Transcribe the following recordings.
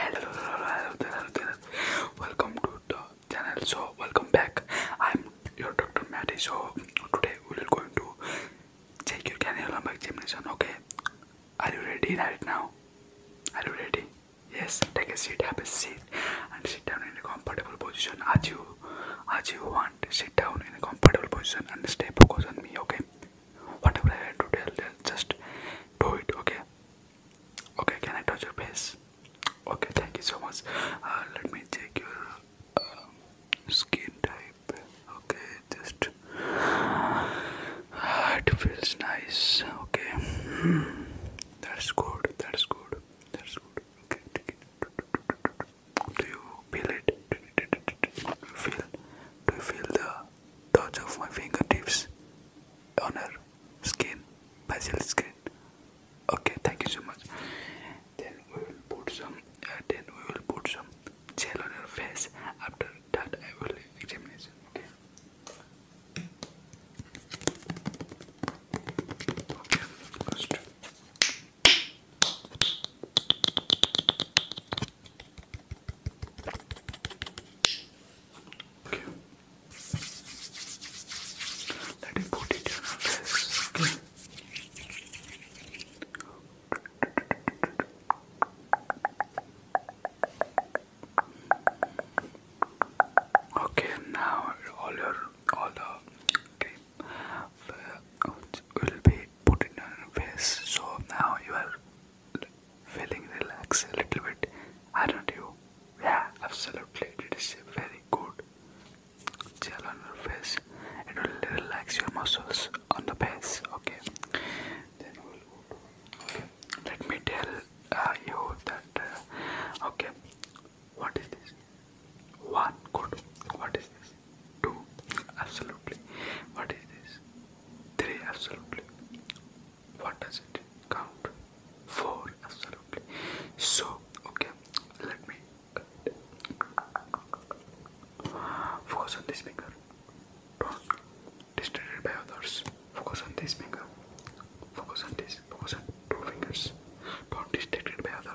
Hello, hello, hello, hello, welcome to the channel. So, welcome back. I'm your Dr. Maddie. So, today we're going to check your cannulum examination. Okay, are you ready right now? Are you ready? Yes, take a seat, have a seat, and sit down in a comfortable position as you, as you want. Sit down in a comfortable position and stay focused on me. Okay, whatever I had to tell just do it, okay? Okay, can I touch your face? Okay, thank you so much. Uh, let me check your uh, skin type. Okay, just uh, it feels nice. Okay, that's good. That's good. That's good. Okay, Do you feel it? feel? Do you feel the touch of my fingertips on her skin, basal skin. Okay, thank you so much. Then we will put some. Uh, then we will put some gel on her face. After that, I will examine. Okay. Let me put it on your face. Okay. Okay, now all your all the cream will be put it on your face so now you are feeling relaxed a little bit aren't you yeah absolutely it is very good gel on your face it will relax your muscles on the face okay then let me tell uh, you that uh, okay what is this one, good. What is this? Two, absolutely. What is this? Three, absolutely. What does it count? Four, absolutely. So, okay, let me focus on this finger. Don't distracted by others. Focus on this finger. Focus on this. Focus on two fingers. Don't distracted by others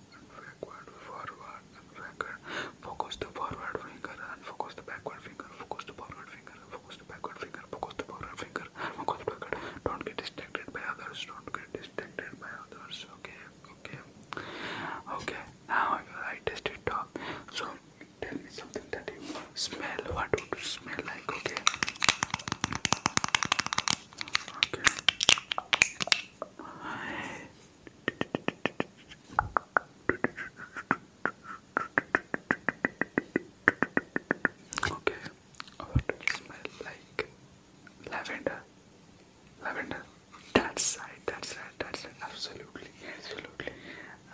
and forward and Focus the forward finger and focus the backward finger. Focus the forward finger focus the backward finger. Focus the forward finger. Focus the backward. Don't get distracted by others. Don't get distracted by others. Okay, okay, okay. Now I tested top. So tell me something that you smell. What would you smell like? Okay. Okay. Okay, what oh, does smell like? Lavender. Lavender. That's right, that's right, that's right. Absolutely, absolutely.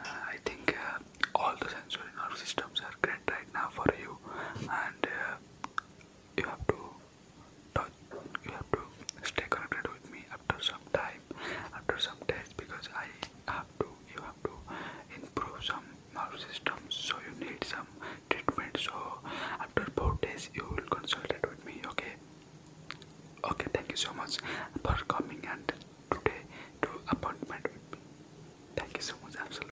Uh, I think uh, all the sensory nerve systems are great right now for you, and uh, you have to you have to stay connected with me after some time, after some days, because I have to, you have to improve some nerve system, so you need some treatment. So after four days, you will consult it with me. Okay. Okay. Thank you so much for coming and today to appointment with me. Thank you so much. Absolutely.